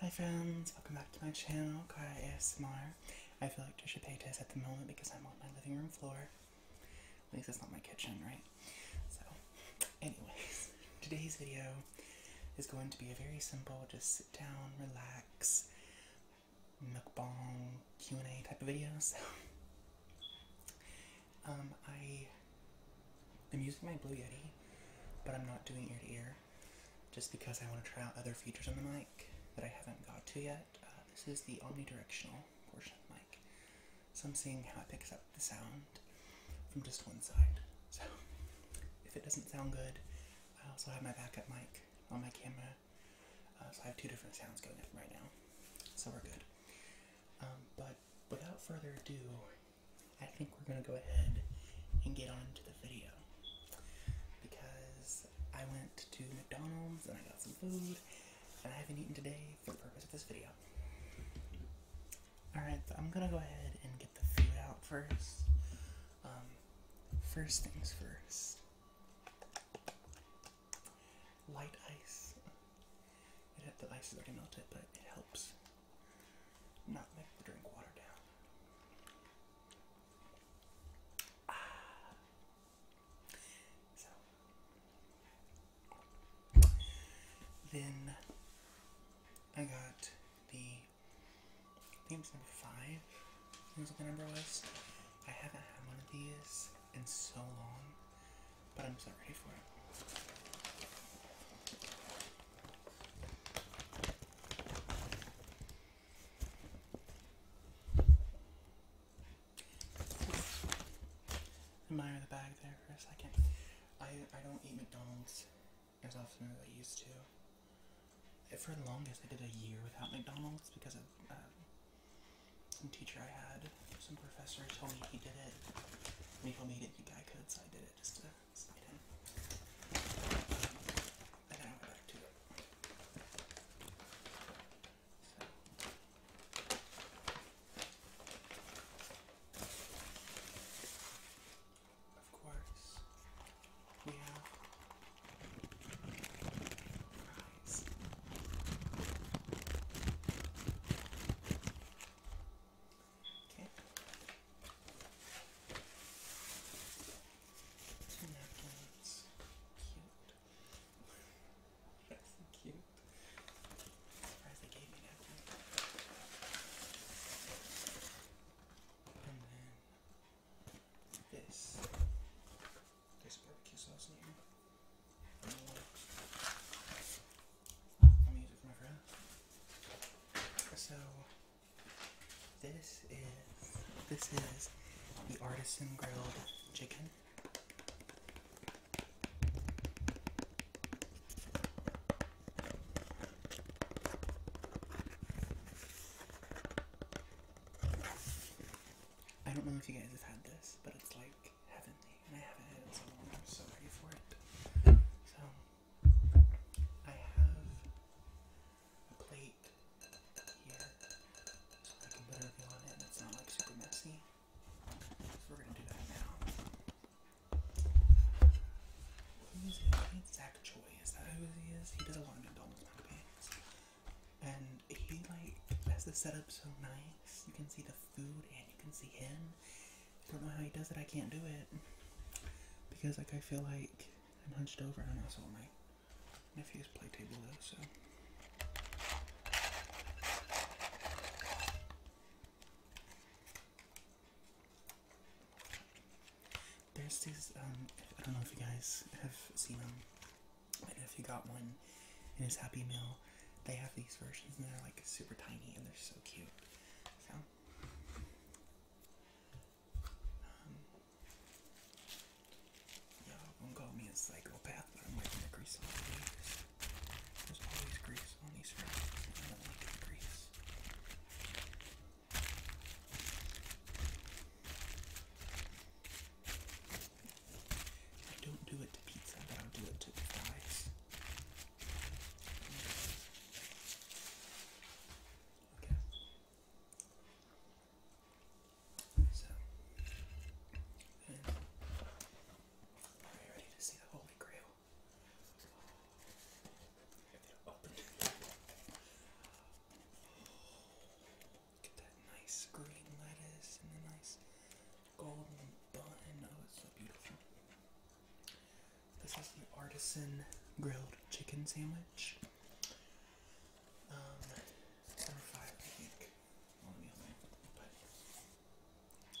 Hi friends, welcome back to my channel, Kaya ASMR. I feel like Trisha Paytas at the moment because I'm on my living room floor. At least it's not my kitchen, right? So, anyways, today's video is going to be a very simple, just sit down, relax, mukbang Q&A type of videos. Um, I am using my Blue Yeti, but I'm not doing ear to ear, just because I want to try out other features on the mic that I haven't got to yet. Uh, this is the omnidirectional portion of the mic, so I'm seeing how it picks up the sound from just one side. So if it doesn't sound good, I also have my backup mic on my camera uh, so I have two different sounds going up right now, so we're good. Um, but without further ado, I think we're gonna go ahead and get on to the video because I went to McDonald's and I got some food, and I haven't eaten today for the purpose of this video. Alright, I'm gonna go ahead and get the food out first. Um, first things first light ice. It, the ice already melted, but it helps not make the drink water down. Ah. So then I got the I number five right? Here's what the number was. I haven't had one of these in so long, but I'm so ready for it. Admire the bag there for a second. I I don't eat McDonald's as often as I used to. For the longest, I did a year without McDonald's because of uh, some teacher I had, some professor told me he did it. When he told me he didn't think I could, so I did it just to spite him. And then I went back to it. Of course, we fries. Okay. Two napkins. Cute. That's cute. I'm surprised they gave me napkins. And then this. There's barbecue sauce here. So this is this is the artisan grilled chicken. I don't know if you guys have had this, but it's like heavenly, and I haven't had it so long. I'm sorry for it. So I have a plate here, so I can put everything on it, and it's not like super messy. So we're gonna do that now. Who's Zach Choi. Is that who he is? He does a lot of McDonald's mukbangs and he like has the setup so nice. You can see the food and you can see him. I don't know how he does it. I can't do it because like I feel like I'm hunched over and that's all my nephew's play table though. So. There's this. um, I don't know if you guys have seen them, um, if you got one in his Happy Meal, they have these versions and they're like super tiny and they're so cute. So, um, yeah, don't call me a psychopath, but I'm liking the grease on There's always grease on these fries, and I don't like grease. I don't do it to pizza, but I'll do it to the fries. Okay. So, are you ready to see the Holy Grail? Open. Get that nice green lettuce and the nice golden bun. Oh, it's so beautiful. This is the artisan grilled chicken sandwich. Um, number five, I think,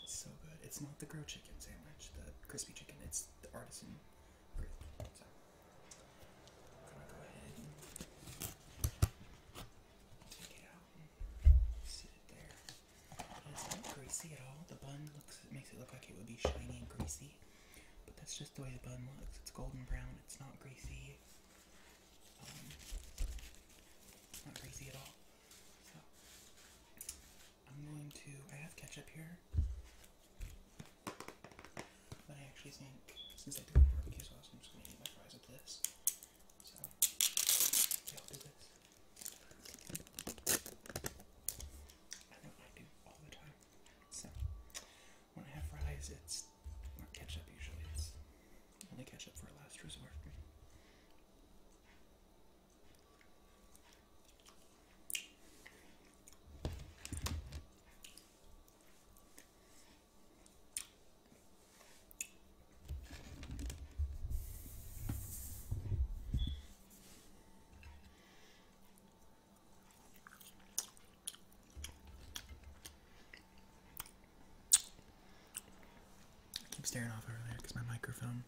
it's so good. It's not the grilled chicken sandwich, the crispy chicken. It's the artisan grilled. So, i Take it out. Sit it there. It's not greasy at all. The bun looks it makes it look like it would be shiny and greasy. But that's just the way the bun looks. It's golden brown, it's not greasy. not greasy at all. So I'm going to I have ketchup here. But I actually think, since I do have barbecue sauce, I'm just gonna eat my fries with this. So, I'll do this. I know I do all the time. So, when I have fries, it's or ketchup usually. It's only ketchup for a last resort. I keep staring off over there because my microphone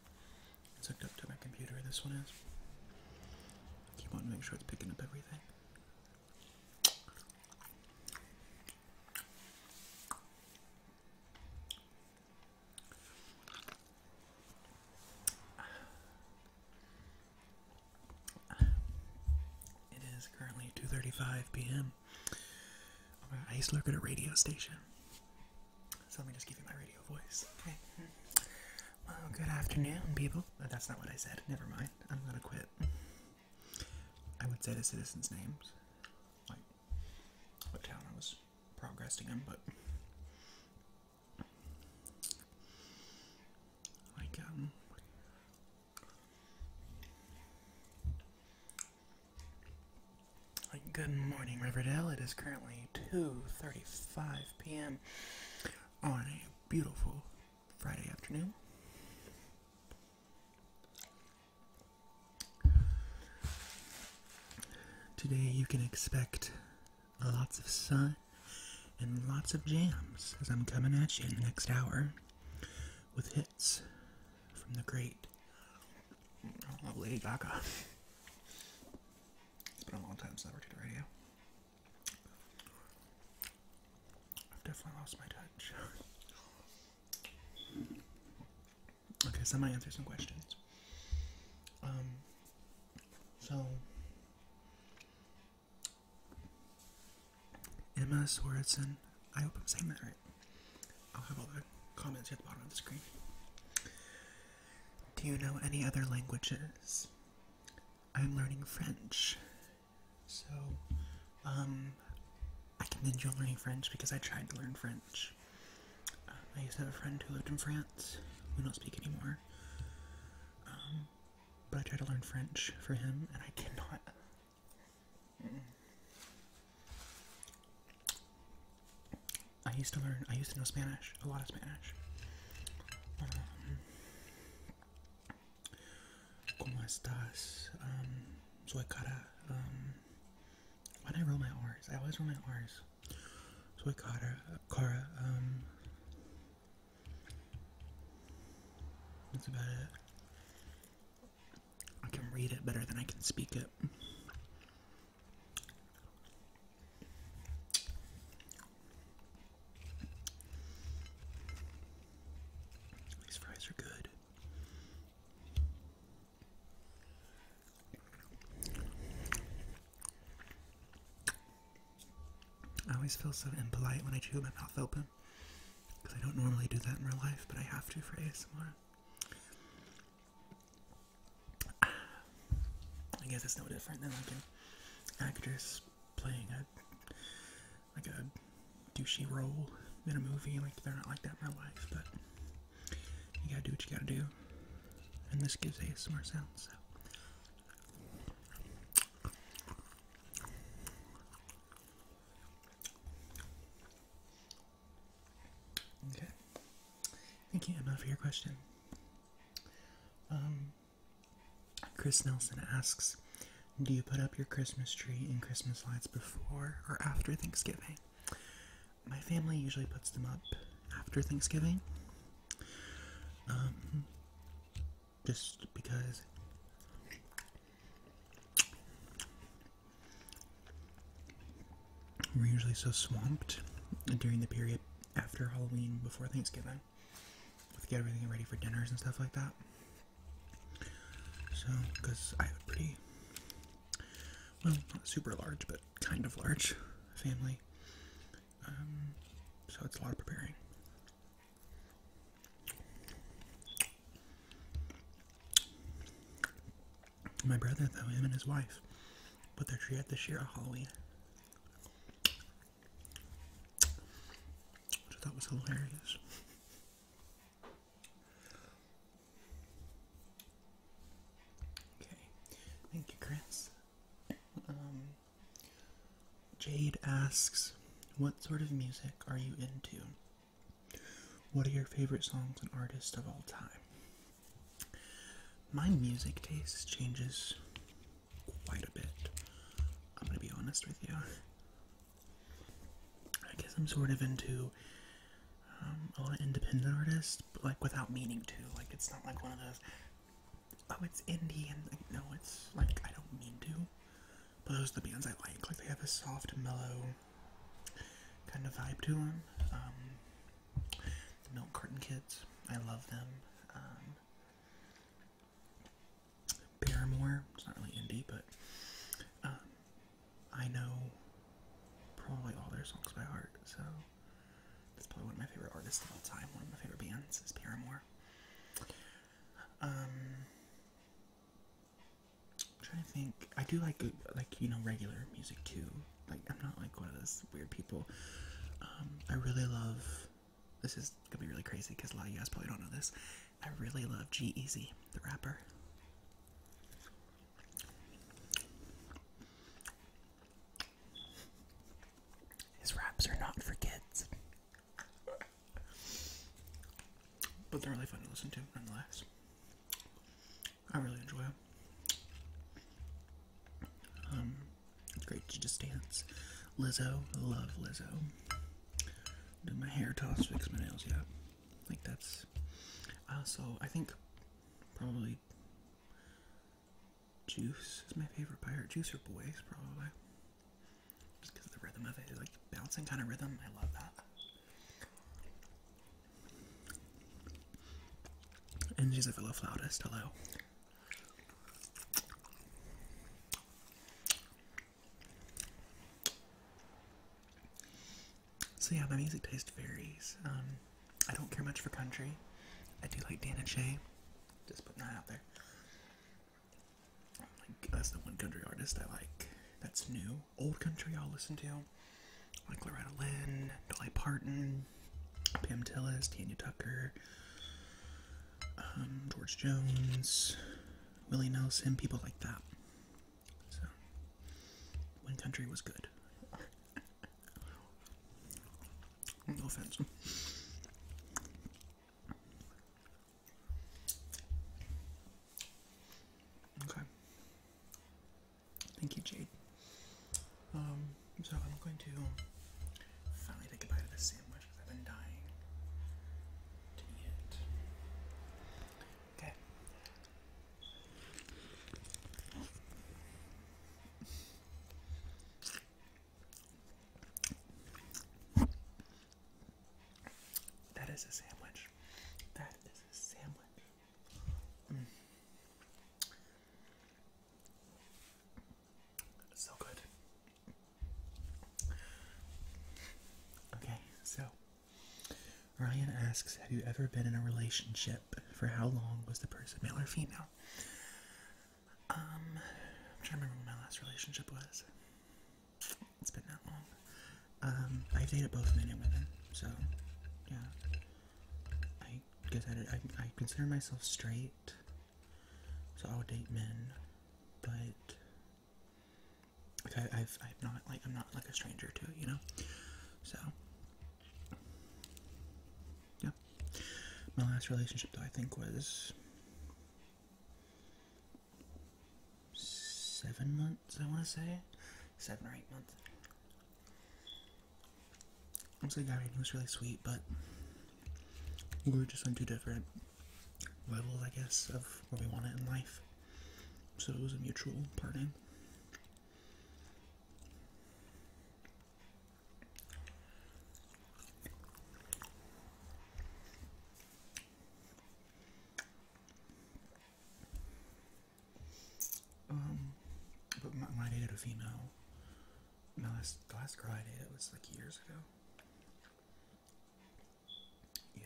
is hooked up to my computer. This one is. I keep wanting to make sure it's picking up everything. It is currently 2:35 p.m. I used to work at a radio station, so let me just give you my radio voice. Okay. Well, good afternoon, people. That's not what I said. Never mind. I'm gonna quit. I would say the citizens' names, like what town I was progressing in, but like um, good morning, Riverdale. It is currently 2:35 p.m. on a beautiful Friday afternoon. Today you can expect lots of sun and lots of jams as I'm coming at you in the next hour with hits from the great oh, Lady Gaga. It's been a long time since I worked at the radio. I've definitely lost my touch. okay, so answer some questions. Um, so Emma Swartzen, I hope I'm saying that right. I'll have all the comments at the bottom of the screen. Do you know any other languages? I'm learning French. So, um, I commend you on learning French because I tried to learn French. Uh, I used to have a friend who lived in France. We don't speak anymore. Um, but I tried to learn French for him, and I cannot. Mm. I used to learn, I used to know Spanish, a lot of Spanish. Um, ¿Cómo estás? Um, um, why did I roll my R's? I always roll my R's. Soy cara. Cara. Um, that's about it. I can read it better than I can speak it. These fries are good. I always feel so impolite when I chew my mouth open because I don't normally do that in real life, but I have to for ASMR. I guess it's no different than like an actress playing a like a douchey role in a movie. Like they're not like that in my life, but you gotta do what you gotta do. And this gives a ASMR sound. So. Okay. Thank you, Emma, for your question. Um, Chris Nelson asks, do you put up your Christmas tree and Christmas lights before or after Thanksgiving? My family usually puts them up after Thanksgiving. Um, just because we're usually so swamped during the period after Halloween before Thanksgiving with get everything ready for dinners and stuff like that. So, because I have a pretty, well, not super large, but kind of large family. Um, so it's a lot of preparing. My brother, though, him and his wife, put their tree up this year on Halloween. Which I thought was hilarious. Okay, thank you, Chris. Um, Jade asks, What sort of music are you into? What are your favorite songs and artists of all time? My music taste changes quite a bit. I'm gonna be honest with you. I guess I'm sort of into um, a lot of independent artists, but like without meaning to. Like it's not like one of those. Oh, it's indie, and like, no, it's like I don't mean to. But those are the bands I like. Like they have a soft, mellow kind of vibe to them. Um, Milk Curtain Kids, I love them. Um, Paramore. It's not really indie, but um, I know probably all their songs by heart. So that's probably one of my favorite artists of all time. One of my favorite bands is Paramore. Um, trying to think. I do like like you know regular music too. Like I'm not like one of those weird people. Um, I really love. This is gonna be really crazy because a lot of you guys probably don't know this. I really love G Easy, the rapper. His raps are not for kids. But they're really fun to listen to, nonetheless. I really enjoy them. Um, it's great to just dance. Lizzo, love Lizzo. Do my hair toss, fix my nails, yeah. I think that's. Uh, so I think probably Juice is my favorite pirate. Juicer or Boys, probably. Just because the rhythm of it, like bouncing kind of rhythm, I love that. And she's a fellow flautist, hello. So yeah, my music taste varies. Um, I don't care much for country. I do like Dana J. Just putting that out there. Like, that's the one country artist I like. That's new. Old country I'll listen to. Like Loretta Lynn, Dolly Parton, Pam Tillis, Tanya Tucker, um, George Jones, Willie Nelson, people like that. So, Wind Country was good. no offense. Okay. Thank you, Jade. Um, so I'm going to finally take a bite of this sandwich. I've been dying to eat Okay. That is a sandwich. That is a sandwich. Mm. So good. Okay, so Ryan asks, Have you ever been in a relationship? For how long was the person male or female? Um, I'm trying to remember what my last relationship was. It's been that long. Um, I dated both men and women, so yeah. I guess I, did, I, I consider myself straight, so I'll date men, but I, I've, I've not like I'm not like a stranger to it, you know. So, yeah. My last relationship, though, I think was seven months. I want to say seven or eight months. I was a guy who was really sweet, but we were just on two different Level, I guess, of where we want it in life. So it was a mutual parting. Um, my, when I a female, my the last girl I dated was like years ago. Yeah.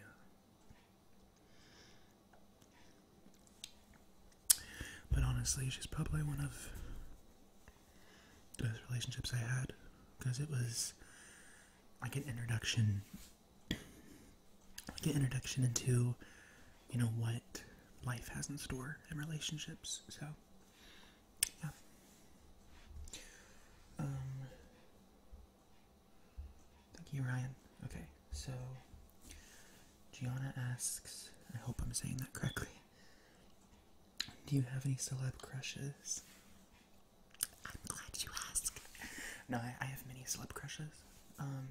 But honestly, she's probably one of those relationships I had because it was like an introduction, like an introduction into, you know, what life has in store in relationships. So, yeah. Um, Thank you, Ryan. Okay, so Gianna asks, I hope I'm saying that correctly. Do you have any celeb crushes? I'm glad you asked. No, I, have many celeb crushes. Um,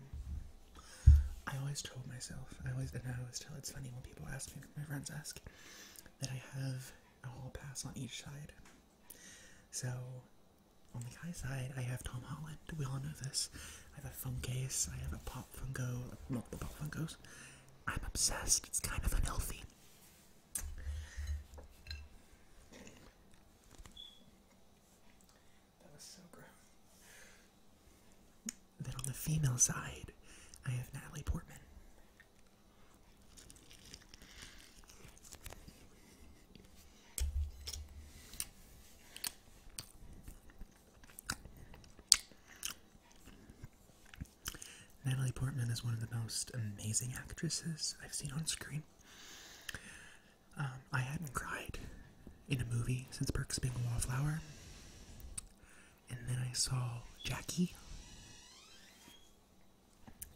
I always told myself, I always, and I always tell it's funny when people ask me, my friends ask, that I have a whole pass on each side. So, on oh the guy side, I have Tom Holland. We all know this. I have a phone case. I have a Pop fungo. Funko, the Pop fungos. I'm obsessed. It's kind of unhealthy. That was so gross. Then on the female side, I have Natalie Portman. Natalie Portman is one of the most amazing actresses I've seen on screen. Um, I hadn't cried in a movie since Perks of Being a Wallflower. And then I saw Jackie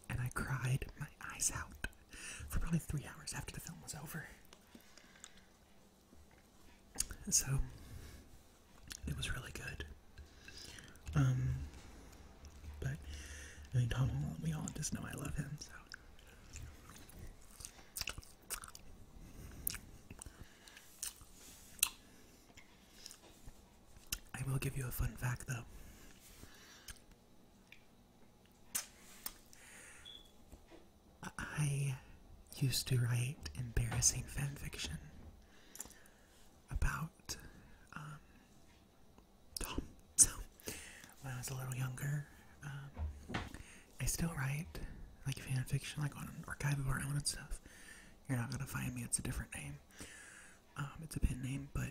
and I cried my eyes out for probably three hours after the film was over. So it was really good. Um, but Tom we all just know I love him, so. I will give you a fun fact though. I used to write embarrassing fan fiction about um, Tom. So, when I was a little younger, um, I still write like fan fiction, like on archive of our own and stuff. You're not gonna find me; it's a different name. Um, it's a pen name, but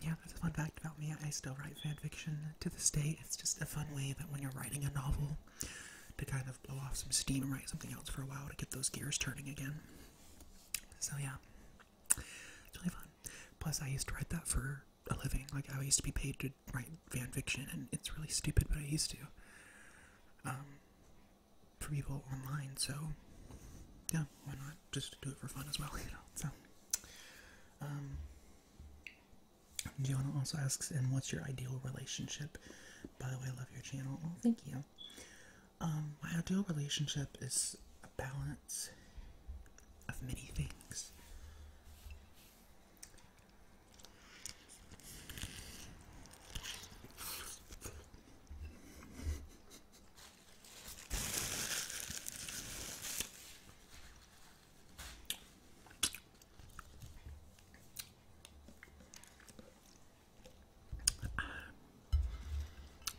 yeah, that's a fun fact about me. I still write fan fiction to this day. It's just a fun way that when you're writing a novel, to kind of blow off some steam and write something else for a while to get those gears turning again. So yeah, really fun. Plus, I used to write that for a living. Like I used to be paid to write fan fiction, and it's really stupid, but I used to. Um, for people online, so yeah, why not? just to do it for fun as well, you know. So, um, Gianna also asks, and what's your ideal relationship? By the way, I love your channel. Oh, thank you. Um, my ideal relationship is a balance of many things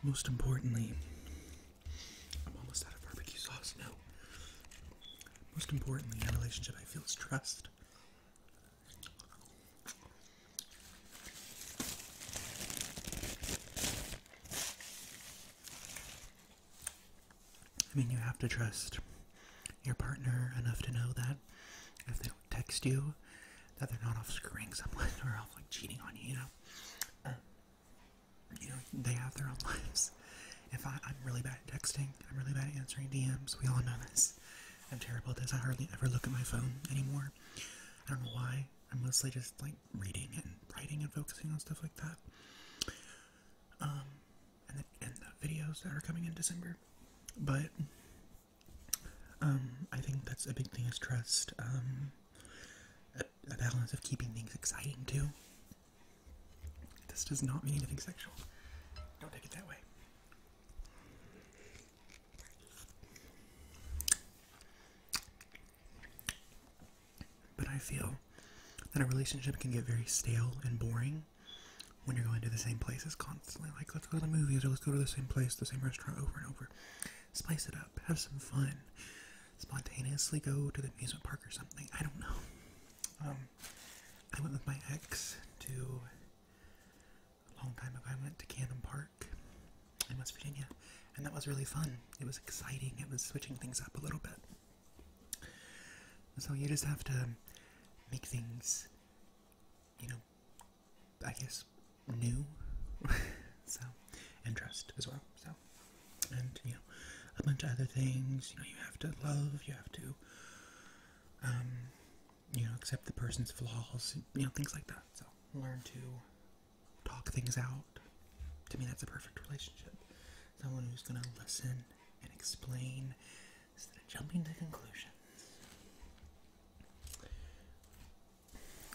most importantly, I'm almost out of barbecue sauce now. Most importantly, in a relationship, I feel is trust. I mean, you have to trust your partner enough to know that if they don't text you, that they're not off screwing someone or off like cheating on you. You know, uh, you know, they have their own lives. If I, am really bad at texting, I'm really bad at answering DMs. We all know this. I'm terrible at this. I hardly ever look at my phone anymore. I don't know why. I am mostly just like reading and writing and focusing on stuff like that. Um, and the, videos that are coming in December, but um, I think that's a big thing is trust. Um, a balance of keeping things exciting too. This does not mean anything sexual. Don't take it that way. But I feel that a relationship can get very stale and boring when you're going to the same places constantly. Like, let's go to the movies or let's go to the same place, the same restaurant over and over. Spice it up, have some fun. Spontaneously go to the amusement park or something. I don't know. Um, I went with my ex to a long time ago. I went to Cannon Park in West Virginia, and that was really fun. It was exciting. It was switching things up a little bit. So you just have to make things, you know, I guess new. so, and trust as well. So, and you know, a bunch of other things. You know, you have to love. You have to, um, you know, accept the person's flaws. You know, things like that. So, learn to talk things out. To me, that's a perfect relationship. Someone who's going to listen and explain instead of jumping to conclusions.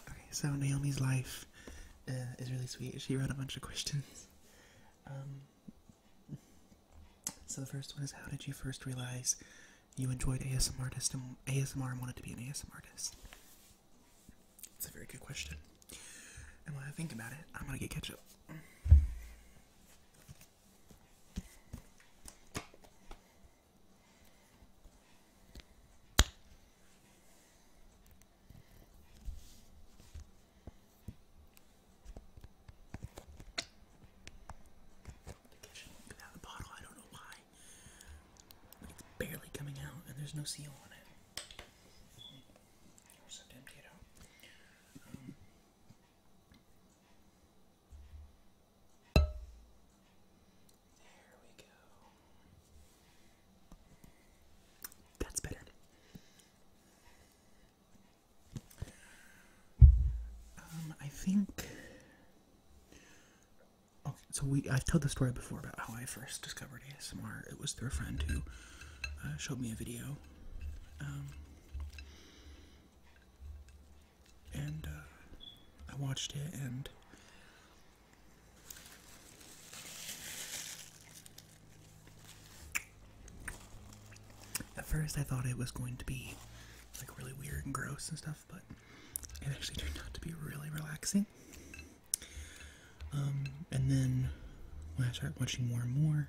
Okay, so Naomi's life uh, is really sweet. She wrote a bunch of questions. Um, so the first one is How did you first realize you enjoyed ASMR, ASMR and wanted to be an ASMR artist? It's a very good question. And when I think about it, I'm gonna get ketchup. The ketchup without the bottle, I don't know why it's barely coming out and there's no seal on it. Um, there we go. That's better. Um, I think Okay, so we I've told the story before about how I first discovered ASMR. It was through a friend who uh, showed me a video, um, and uh, I watched it and. At first, I thought it was going to be like really weird and gross and stuff, but it actually turned out to be really relaxing. Um, and then when I started watching more and more,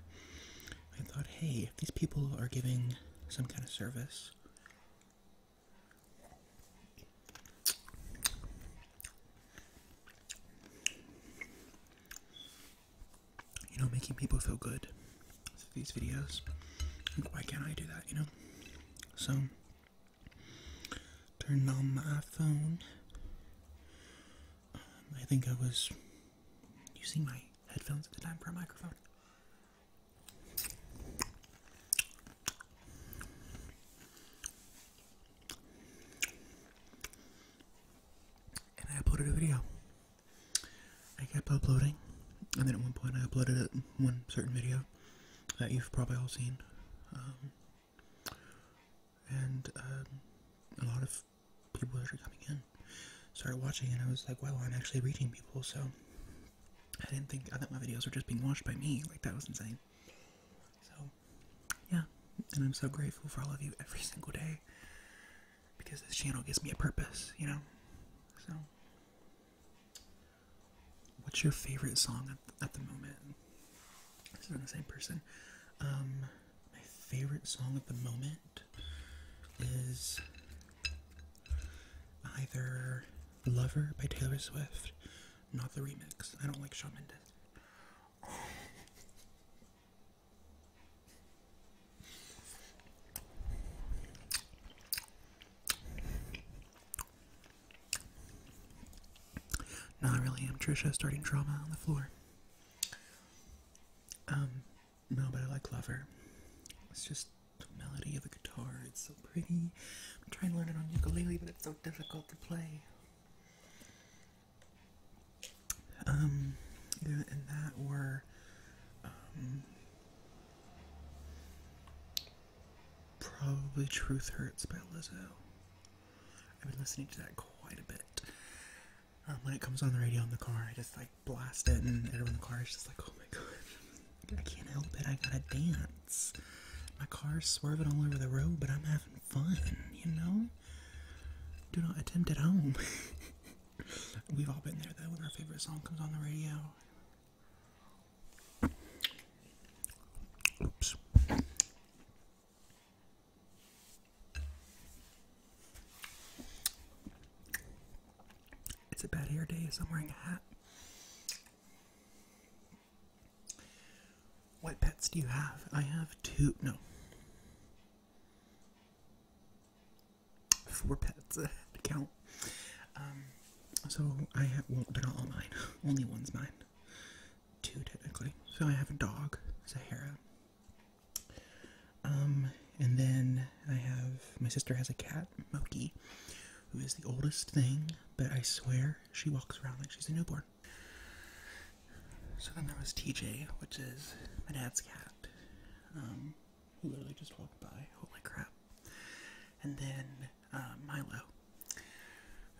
I thought, hey, if these people are giving some kind of service, you know, making people feel good through these videos, why can't I do that, you know? So, turned on my phone. Um, I think I was using my headphones at the time for a microphone. And I uploaded a video. I kept uploading, and then at one point I uploaded one certain video that you've probably all seen. Um, and um, a lot of people that are coming in started watching, and I was like, wow, I'm actually reaching people. So I didn't think I thought my videos were just being watched by me. Like that was insane. So yeah, and I'm so grateful for all of you every single day because this channel gives me a purpose, you know. So What's your favorite song at, the moment? This is on the same person. Um, my favorite song at the moment is either Lover by Taylor Swift, not the remix. I don't like Shawn Mendes. No, I really am. Trisha starting drama on the floor. Um, no, but I like Lover. It's just the melody of the guitar. It's so pretty. I'm trying to learn it on ukulele, but it's so difficult to play. Um, and that were, um, Probably Truth Hurts by Lizzo. I've been listening to that quite a bit. Um, when it comes on the radio in the car, I just like blast it, and everyone in the car is just like, oh my god, I can't help it, I gotta dance. My car's swerving all over the road, but I'm having fun, you know? Do not attempt at home. We've all been there though when our favorite song comes on the radio. Oops. It's a bad hair day, so I'm wearing a hat. What pets do you have? I have two. No. Four pets to count. Um, so I have, well, they're not all mine. Only one's mine two technically. So I have a dog, Sahara. Um, and then I have my sister has a cat, Moki, who is the oldest thing, but I swear she walks around like she's a newborn. So then there was TJ, which is my dad's cat, um, who literally just walked by. Holy crap. And then uh, Milo,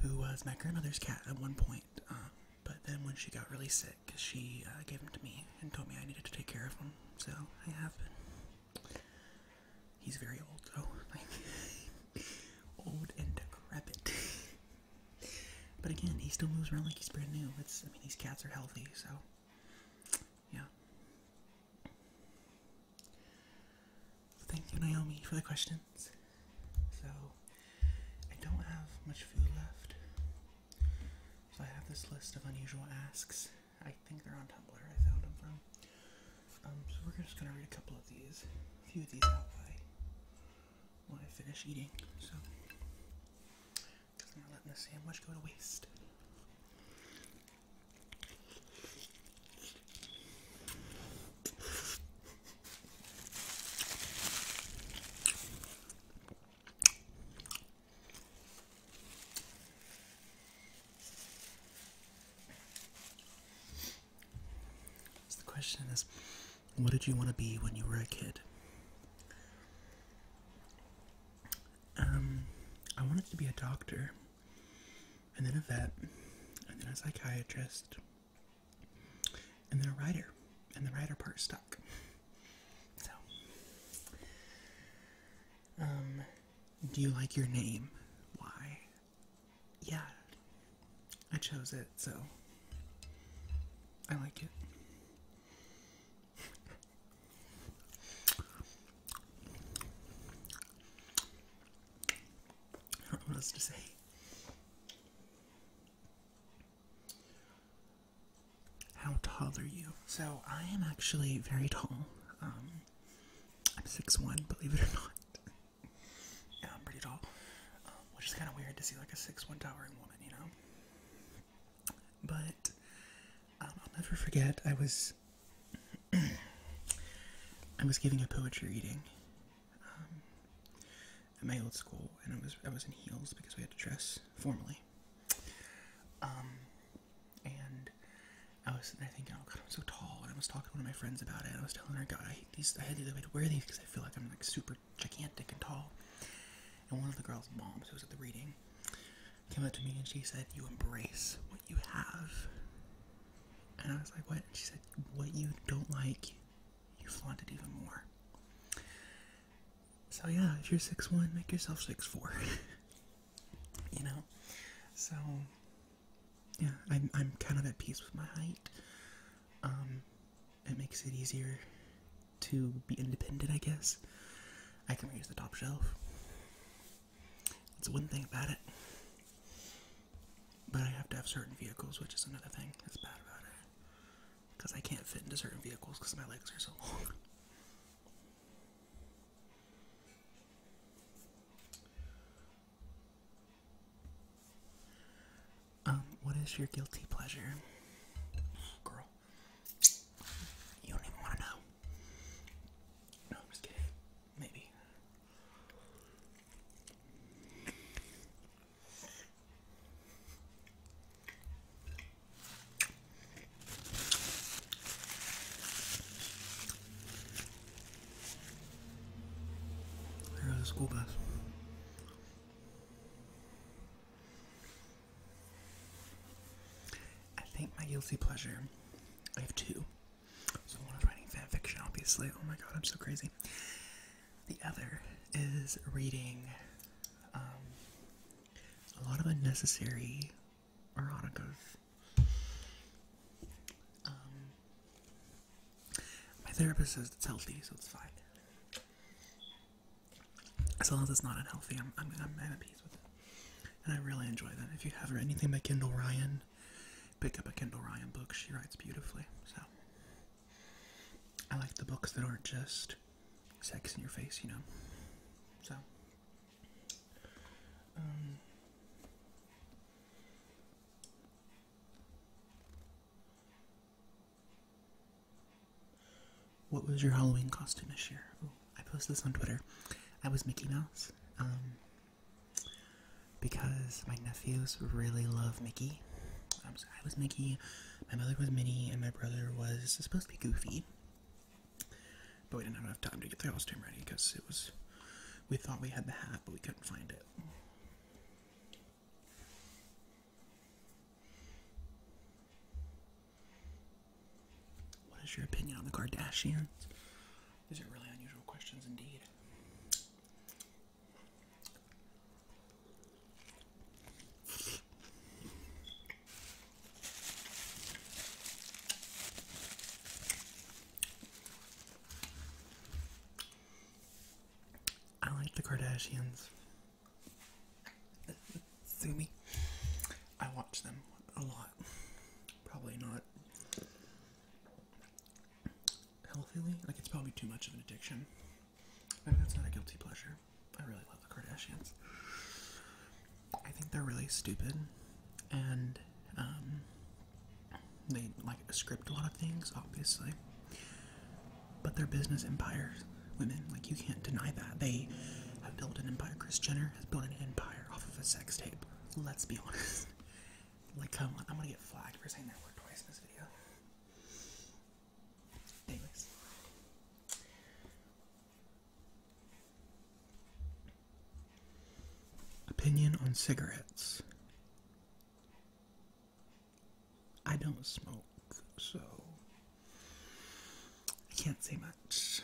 who was my grandmother's cat at one point. Um, but then when she got really sick, she uh, gave him to me and told me I needed to take care of him. So I have been. He's very old, though, old and decrepit. but again, he still moves around like he's brand new. It's I mean, these cats are healthy, so yeah. Thank you, Naomi, for the questions. So, I don't have much food left. So, I have this list of unusual asks. I think they're on Tumblr, I found them from. Um, so, we're just gonna read a couple of these, a few of these out by when I finish eating. So, because I'm not letting the sandwich go to waste the question is, what did you want to be when you were a kid? Um, I wanted to be a doctor and then a vet, and then a psychiatrist, and then a writer, and the writer part stuck. So, um, do you like your name? Why? Yeah, I chose it, so I like it. I don't know what else to say. How tall are you? So I am actually very tall. Um, I'm 6'1", believe it or not. yeah, I'm pretty tall. Um, which is kind of weird to see like a 6'1 towering woman, you know? But um, I'll never forget, I was... I was giving a poetry reading at um, my old school, and I was I was in heels because we had to dress formally. Um, and I was sitting there thinking, oh god, I'm so tall. And I was talking to one of my friends about it. and I was telling her, God, I hate these. I hate the way to wear these because I feel like I'm like super gigantic and tall. And one of the girls' moms who was at the reading came up to me and she said, "You embrace what you have." And I was like, what? she said, what you don't like, you flaunt it even more. So yeah, if you're six one, make yourself six four. you know? So yeah, I'm kind of at peace with my height. Um, it makes it easier to be independent, I guess. I can raise the top shelf. That's one thing about it. But I have to have certain vehicles, which is another thing that's bad about it. Because I can't fit into certain vehicles because my legs are so long. Um, what is your guilty pleasure? Girl. You don't even want to know. No, I'm just kidding. Maybe. There the school bus. I think my guilty pleasure, I have two. So one is writing fan obviously. Oh my god, I'm so crazy. The other is reading um, a lot of unnecessary eroticas. Um, my therapist says it's healthy, so it's fine. As long as it's not unhealthy, I'm, I'm, I'm at peace with it. And I really enjoy that. If you have anything by Kindle Ryan, pick up a Kindle Ryan book. She writes beautifully. So I like the books that aren't just sex in your face, you know. So um What was your Halloween costume this year? I posted this on Twitter. I was Mickey Mouse. Um, because my nephews really love Mickey. I was Mickey, my mother was Minnie, and my brother was supposed to be Goofy. But we didn't have enough time to get the costume ready because it was. We thought we had the hat, but we couldn't find it. What is your opinion on the Kardashians? These are really unusual questions indeed. I like the Kardashians. Sue I watch them a lot. Probably not healthily. Like it's probably too much of an addiction. Maybe that's not a guilty pleasure. I really love the Kardashians. I think they're really stupid, and um, they like script a lot of things, obviously. But they're business empire women. Like you can't deny that they have built an empire. Kris Jenner has built an empire off of a sex tape. Let's be honest. Like, come on, I'm gonna get flagged for saying that word twice in this video. Anyways. Opinion on cigarettes. I don't smoke, so I can't say much.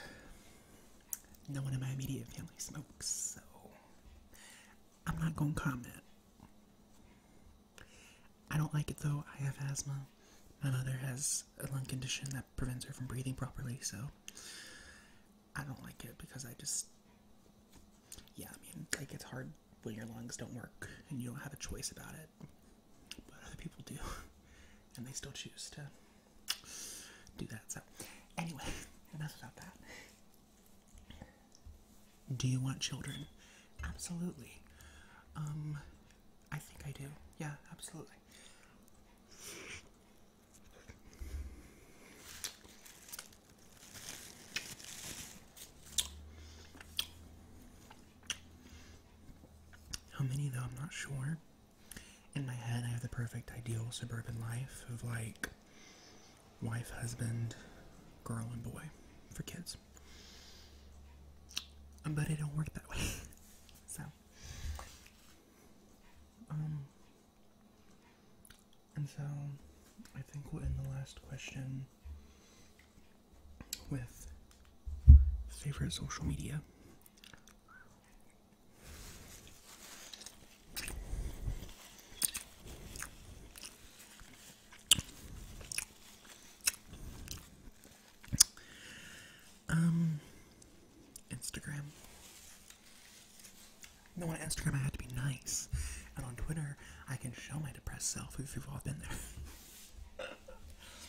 No one in my immediate family smokes, so I'm not going to comment. I don't like it though. I have asthma. My mother has a lung condition that prevents her from breathing properly, so I don't like it because I just. Yeah, I mean, like it's hard when your lungs don't work and you don't have a choice about it. But other people do, and they still choose to do that. So, anyway, enough about that. Do you want children? Absolutely. Um, I think I do. Yeah, absolutely. How many, though, I'm not sure. In my head, I have the perfect ideal suburban life of like wife, husband, girl, and boy for kids. Um, but it don't work that way. so, um, and so I think we'll end the last question with favorite social media. Um, Instagram. No, on Instagram I have to be nice, and on Twitter I can show my depressed self. We've, have all been there.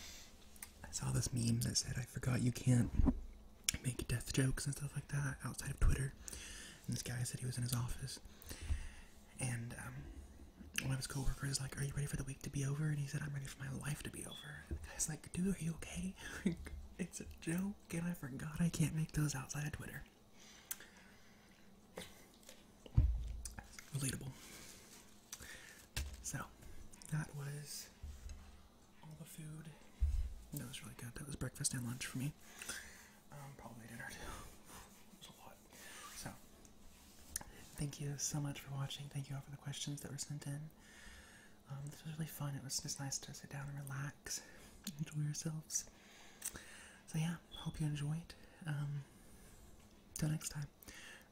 I saw this meme that said, "I forgot you can't make death jokes and stuff like that outside of Twitter." this guy said he was in his office. And um, one of his coworkers is like, Are you ready for the week to be over? And he said, I'm ready for my life to be over. the guy's like, Dude, are you okay? it's a joke, and I forgot I can't make those outside of Twitter. Relatable. So, that was all the food. That was really good. That was breakfast and lunch for me um, probably dinner too. it's a lot. So, thank you so much for watching. Thank you all for the questions that were sent in. Um, this was really fun. It was just nice to sit down and relax, enjoy yourselves. So yeah, hope you enjoyed. Um, till next time,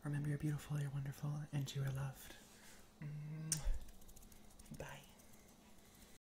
remember you're beautiful, you're wonderful, and you are loved. Mm-hmm. Bye.